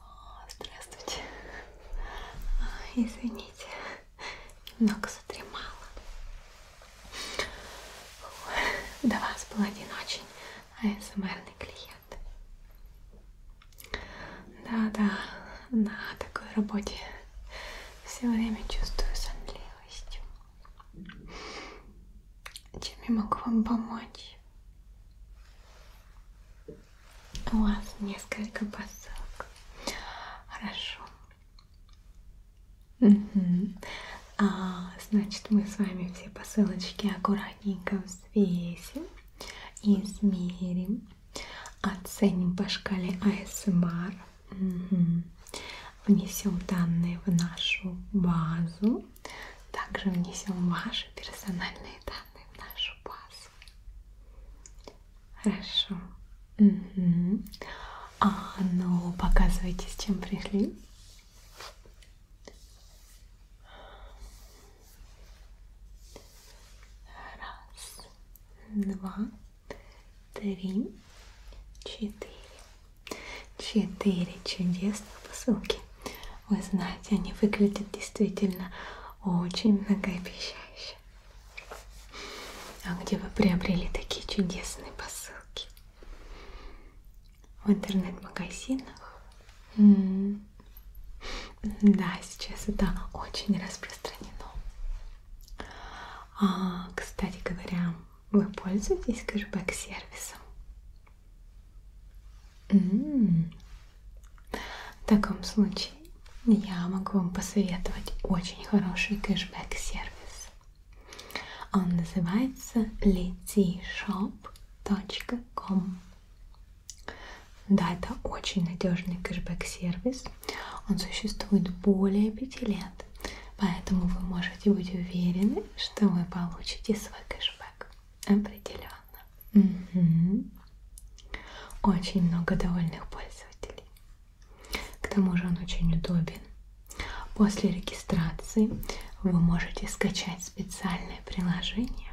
А, здравствуйте. А, извините, немного задремала. До вас был один очень АСМРный э, клиент. Да-да, на такой работе все время чувствую сонливость. Чем я могу вам помочь? У вас несколько посылок. Хорошо. Угу. А, значит, мы с вами все посылочки аккуратненько взвесим измерим, оценим по шкале АСМР, угу. внесем данные в нашу базу, также внесем ваши персональные данные в нашу базу. Хорошо. Угу. А ну, показывайте, с чем пришли. Раз, два, три, четыре. Четыре чудесных посылки. Вы знаете, они выглядят действительно очень многообещающе. А где вы приобрели такие чудесные посылки? В интернет-магазинах М -м да, сейчас это очень распространено. А, кстати говоря, вы пользуетесь кэшбэк-сервисом? В таком случае я могу вам посоветовать очень хороший кэшбэк-сервис. Он называется letishop.com да, это очень надежный кэшбэк-сервис. Он существует более пяти лет, поэтому вы можете быть уверены, что вы получите свой кэшбэк. Определенно. Угу. Очень много довольных пользователей. К тому же он очень удобен. После регистрации вы можете скачать специальное приложение,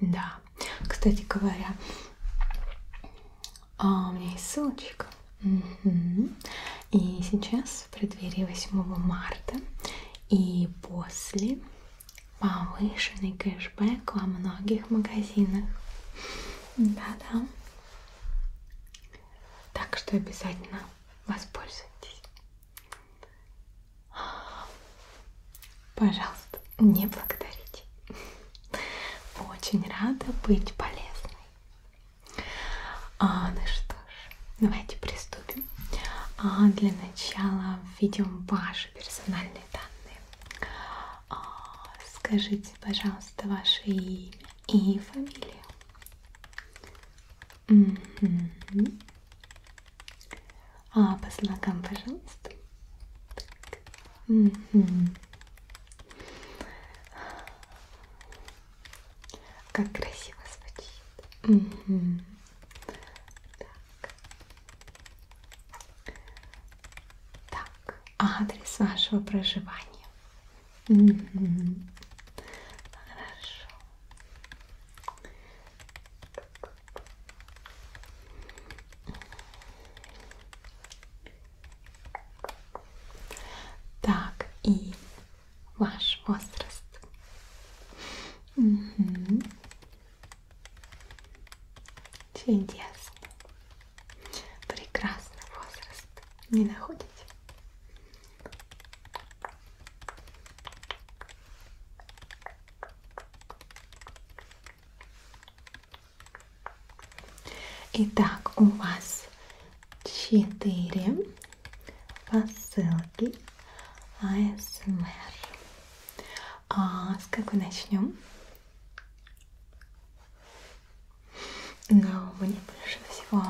да, кстати говоря, а, у меня есть ссылочка. Угу. И сейчас в преддверии 8 марта и после повышенный кэшбэк во многих магазинах. Да-да. Так что обязательно воспользуйтесь. Пожалуйста, не благодарите. Очень рада быть полезной. А, ну что ж, давайте приступим. А для начала введем ваши персональные данные. А, скажите, пожалуйста, ваше имя и фамилию. Угу. А, по знакам, пожалуйста. Угу. Как красиво звучит. Угу. Так. так, адрес вашего проживания. Угу. Хорошо. Так. Так, и ваш возраст. Угу. Чудесно. Прекрасный возраст. Не находите? Итак, у вас четыре посылки АСМР. А с какой начнем? Но ну, мне больше всего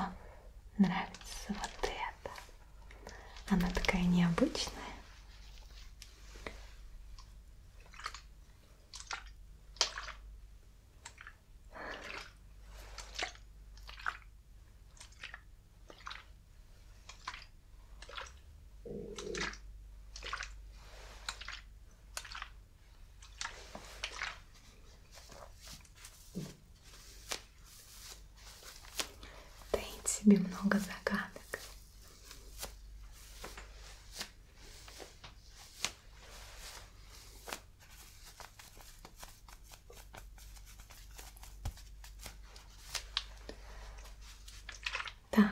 нравится вот это. Она такая необычная. Таит себе много загадок. Так,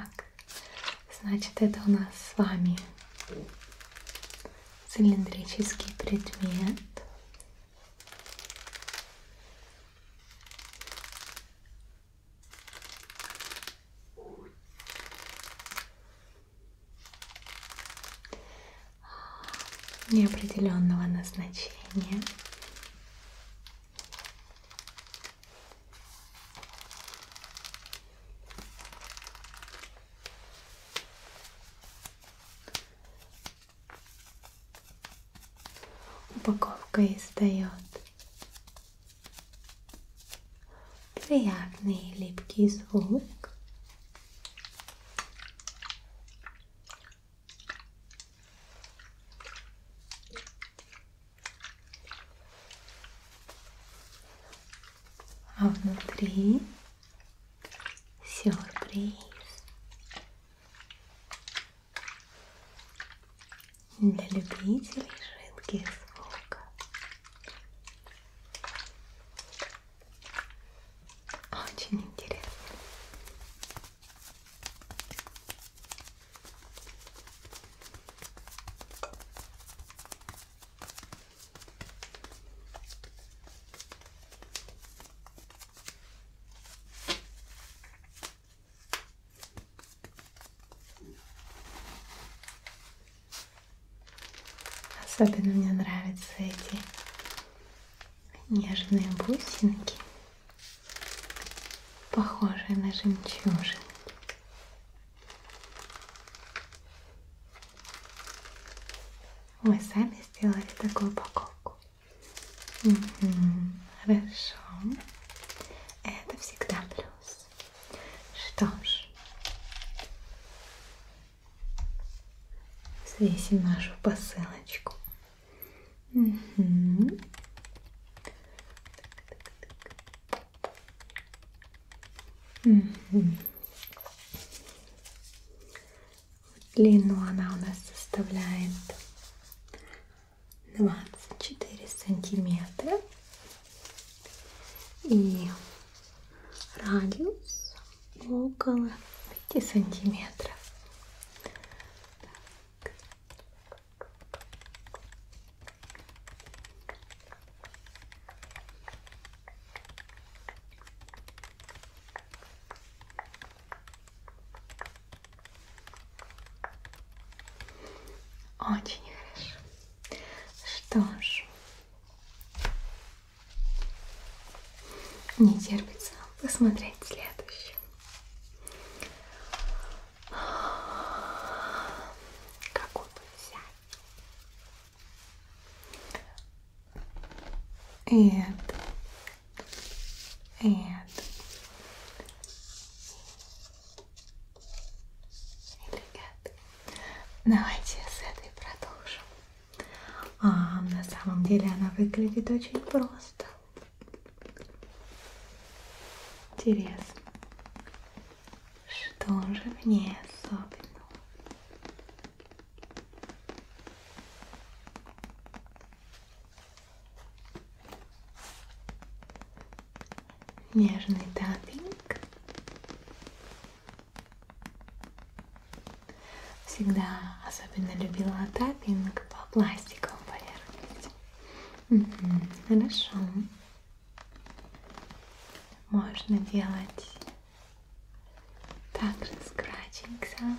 значит, это у нас с вами цилиндрический предмет неопределенного назначения. Упаковка издает приятный липкий звук. А внутри сюрприз для любителей жидких звуков. Очень интересно. Особенно мне нравятся эти нежные бусинки, похожие на жемчужины. Мы сами сделали такую упаковку. Угу, хорошо. Это всегда плюс. Что ж, взвесим нашу посылочку. Угу. Угу. Длину она у нас составляет 24 сантиметра. И радиус около 5 сантиметров. Так. Очень хорошо. Что ж, не терпится посмотреть следующее. Какую бы взять? И это and элегантный. Давайте с этой продолжим. А, на самом деле она выглядит очень просто. Интересно, что же в ней особенного? Нежный тапинг. Всегда особенно любила тапинг по пластиковым поверхностям. Угу, хорошо. Можно делать также scratching sounds.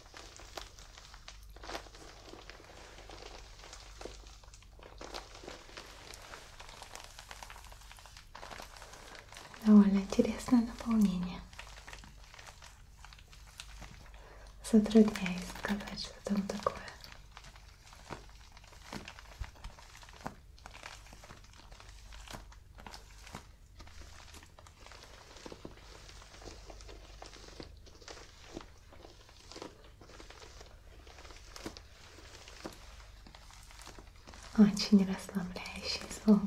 Довольно интересное наполнение. Затрудняюсь сказать, что там такое. Очень расслабляющий звук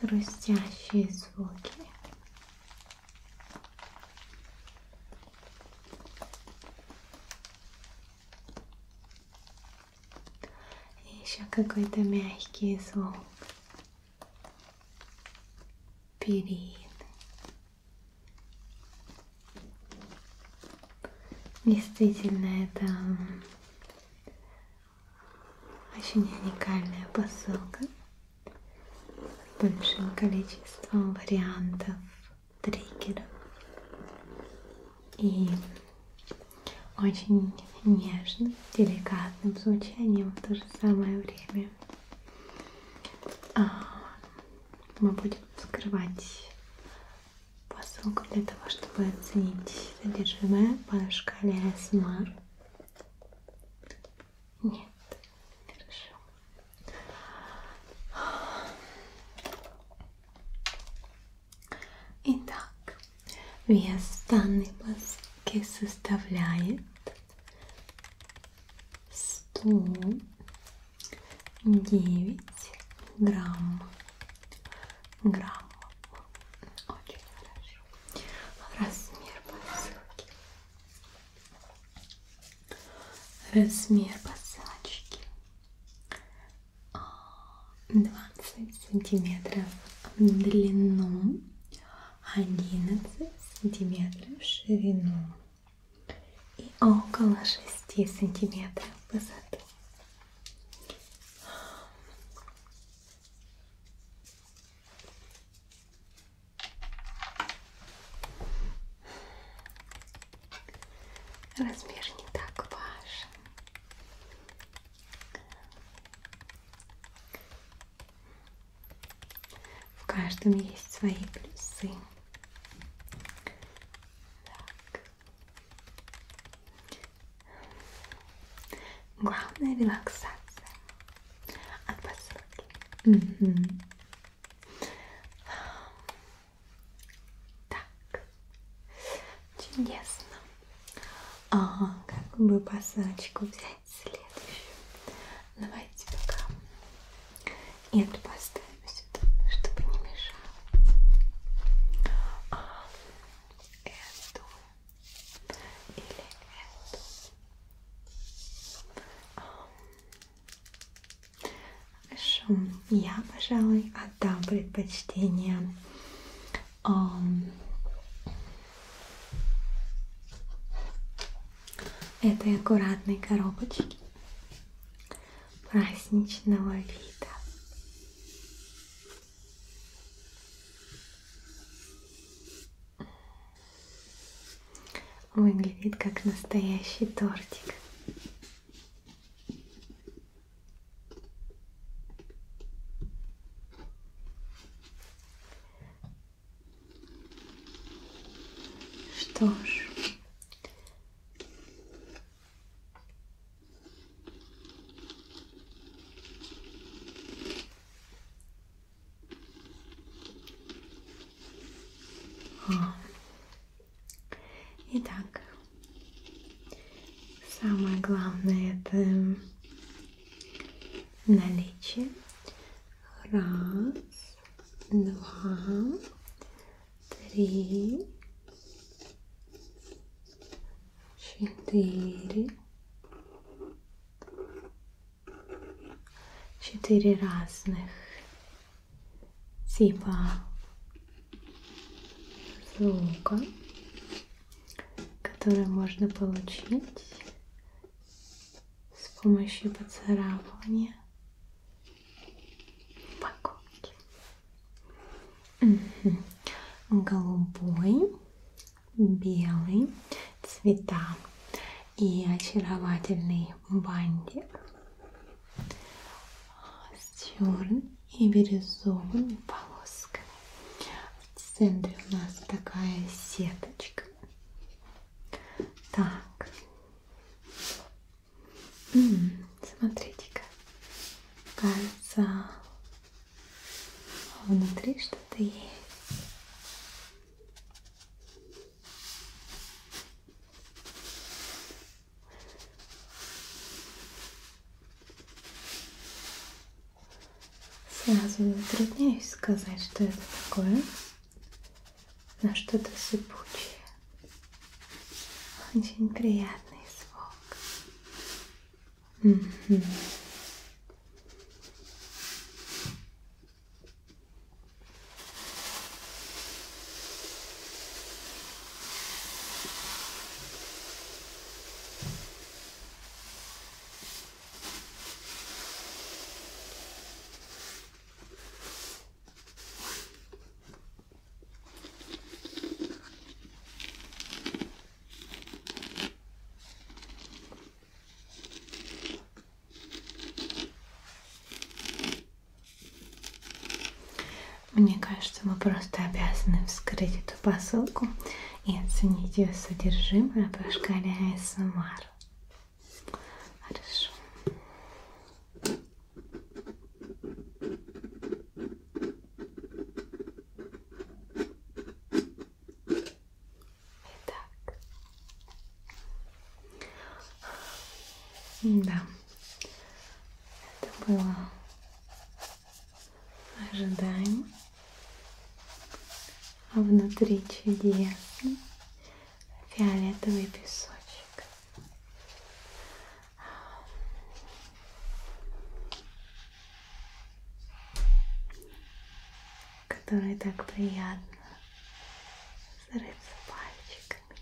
хрустящие звуки. И еще какой-то мягкий звук. Перины. Действительно, это очень уникальная посылка с большим количеством вариантов триггеров и очень нежным, деликатным звучанием в то же самое время. А, мы будем вскрывать посылку для того, чтобы оценить содержимое по шкале СМР. Нет, хорошо. Итак, вес данной посылки составляет 109 грамм граммов. Очень хорошо. Размер посылки. Размер посылочки 20 а, сантиметров в длину, 11 сантиметров в ширину и около 6 сантиметров в высоту. Размер не так важен. В каждом есть свои плюсы. Так. Главное релаксация от посылки. Угу. Так, чудесно. Ага, как бы посылочку взять следующую? Давайте пока эту поставим сюда, чтобы не мешалось. А эту или эту. Хорошо, я, пожалуй, отдам предпочтение um, этой аккуратной коробочки праздничного вида. Выглядит как настоящий тортик. Что ж, Итак, самое главное это наличие. Раз, два, три, четыре, четыре разных типа звука, которые можно получить с помощью поцарапывания упаковке. Угу. Голубой, белый цвета и очаровательный бантик с черным и бирюзовыми полосками. В центре у нас такая сеточка. Так, Смотрите-ка, кажется, внутри что-то есть. Сразу затрудняюсь сказать, что это такое, но что-то сыпучее. Очень приятный звук. Угу. Мне кажется, мы просто обязаны вскрыть эту посылку и оценить ее содержимое по шкале эм АСМР. Хорошо. Итак. Да. Это было ожидаемо. А внутри чудесный фиолетовый песочек в который так приятно зарыться пальчиками.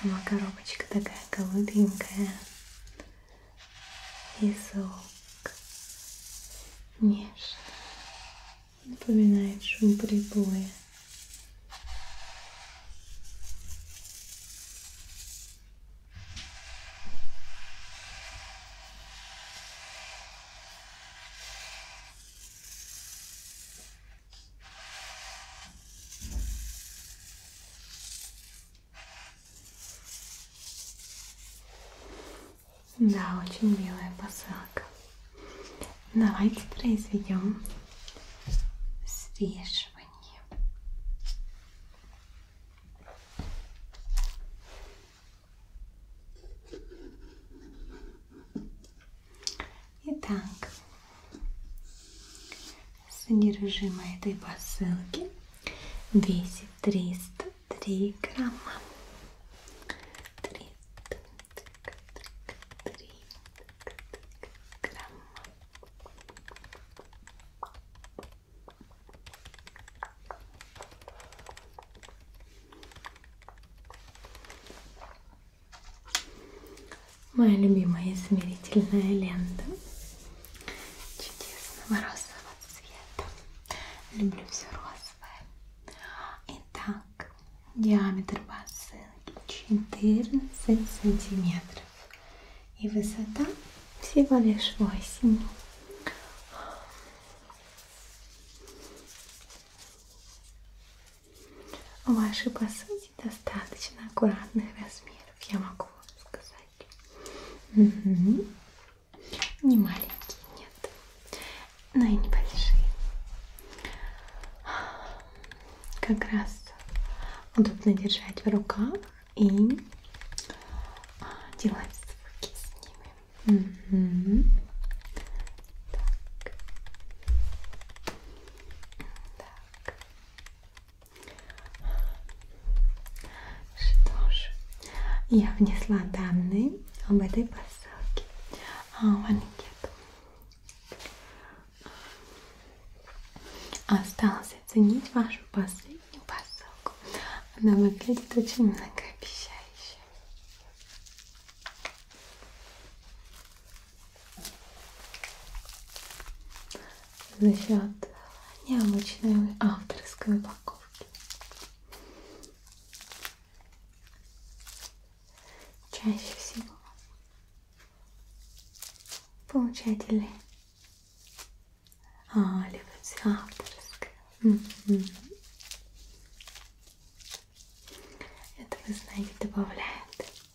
Сама коробочка такая голубенькая и звук нежно напоминает шум прибоя. Да, очень милая посылка. Давайте произведем свежую. Итак, Содержимое этой посылки весит 303 грамма. 303 грамма. Моя любимая измерительная лента чудесного розового цвета. Люблю все розовое. Итак, диаметр посылки 14 сантиметров. И высота всего лишь 8. Ваши посылки достаточно аккуратных размеров, я могу вам сказать. Угу. Не маленькие, нет. Но и небольшие. Как раз удобно держать в руках и а, делать звуки с ними. Угу. Так. Так. Что ж, я внесла данные об этой посылке а, в анкету. Осталось оценить вашу последнюю посылку. Она выглядит очень многообещающе за счет необычной авторской упаковки. Чаще всего получатели а, любят авторское. Это, вы знаете, добавляет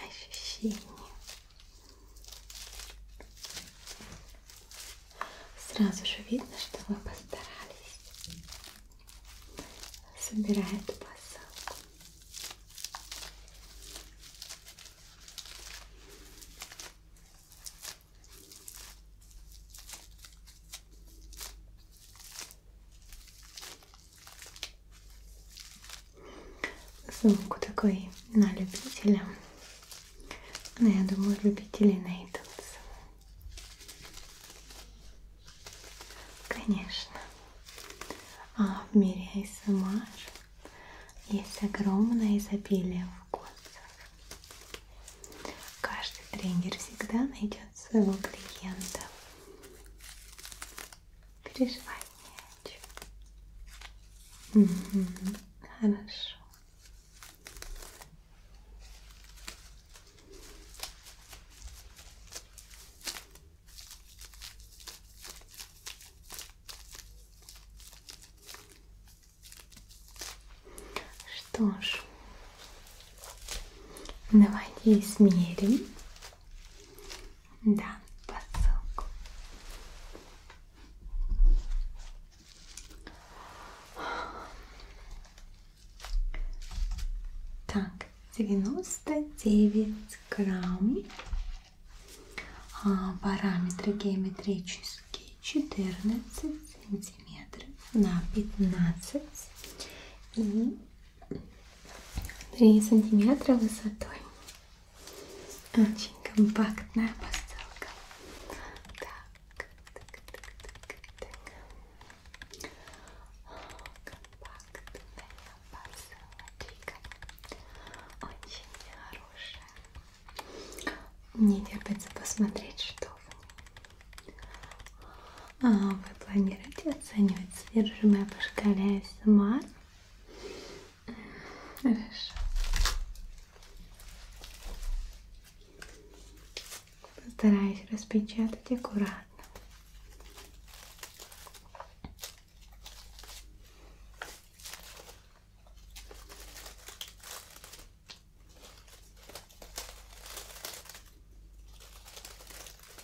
ощущение. Сразу же видно, что вы постарались. Собирает посылку. Сумку такой на любителя. Но ну, я думаю, любителей найдутся. Конечно. А в мире эм АСМР есть огромное изобилие вкусов. Каждый тренер всегда найдет своего клиента. Переживай не о чем. Угу. Хорошо. Что ж, давайте измерим да, посылку. Так, 99 грамм. А, параметры геометрические 14 сантиметров на 15 и 3 сантиметра высотой. Очень компактная посылка. Так, так, так, так, так. Компактная посылочка. Очень хорошая. Не терпится посмотреть, что в ней. А, вы планируете оценивать содержимое по шкале СМА? Хорошо. Постараюсь распечатать аккуратно.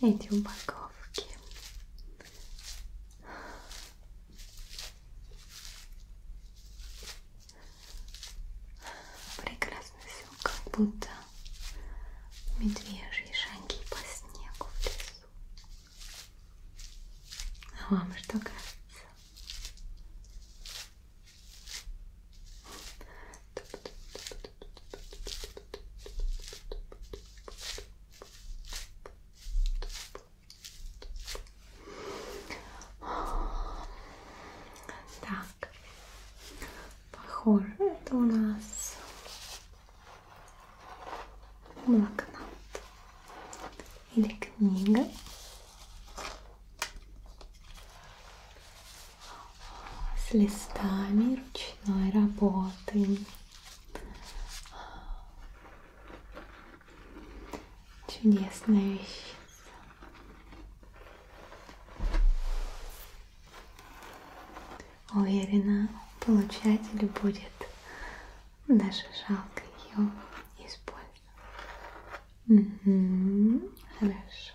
эти упаковки. Прекрасно все, как будто медвежьи шаги по снегу в лесу. А вам что кажется? Туп -туп -туп -туп. Так, похоже, это у нас блокнот или книга с листами ручной работы. Чудесная вещь. Уверена, получателю будет даже жалко ее использовать. Угу, хорошо.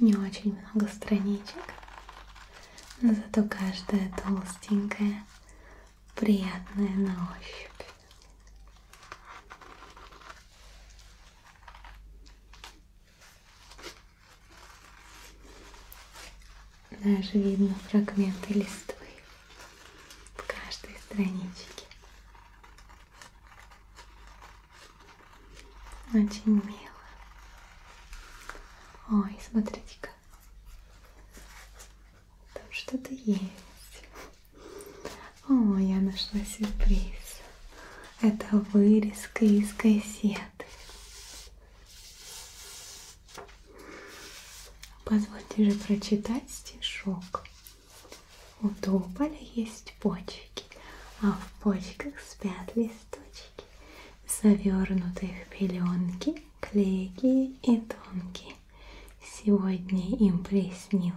не очень много страничек, но зато каждая толстенькая, приятная на ощупь. Даже видно фрагменты листвы в каждой страничке. Очень мило. Ой, смотрите-ка. Там что-то есть. О, я нашла сюрприз. Это вырезка из кассеты. Позвольте же прочитать стишок. У тополя есть почки, а в почках спят листочки пальчики, завернутые в пеленки, клейкие и тонкие. Сегодня им приснилось,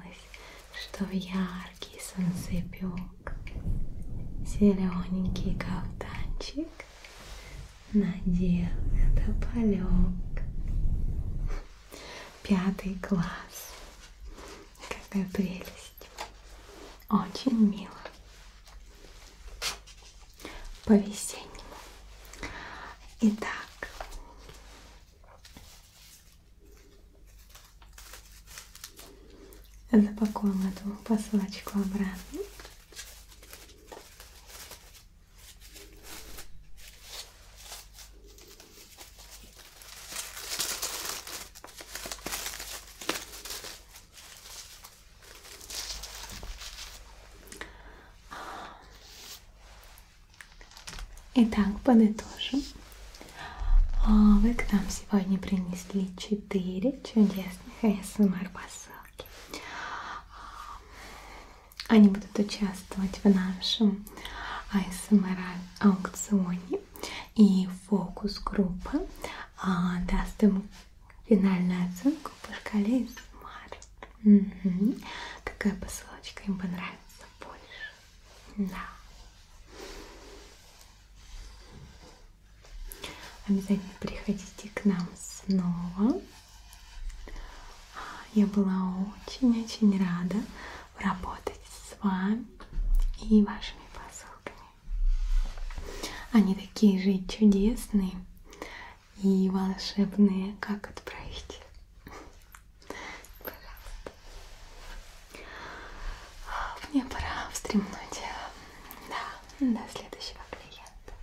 что в яркий солнцепек зелененький кафтанчик надел тополек. Пятый класс. Какая прелесть есть. Очень мило. По-весеннему. Итак. Запакуем эту посылочку обратно. Итак, подытожим. А, вы к нам сегодня принесли 4 чудесных ASMR-посылки. Эм а, они будут участвовать в нашем ASMR-аукционе. Эм И фокус-группа даст ему финальную оценку по шкале из угу. Какая посылочка им понравится больше? Да. Обязательно приходите к нам снова. Я была очень-очень рада работать с вами и вашими посылками. Они такие же чудесные и волшебные. Как отправить? Пожалуйста. Мне пора встремнуть. Да, до следующего клиента.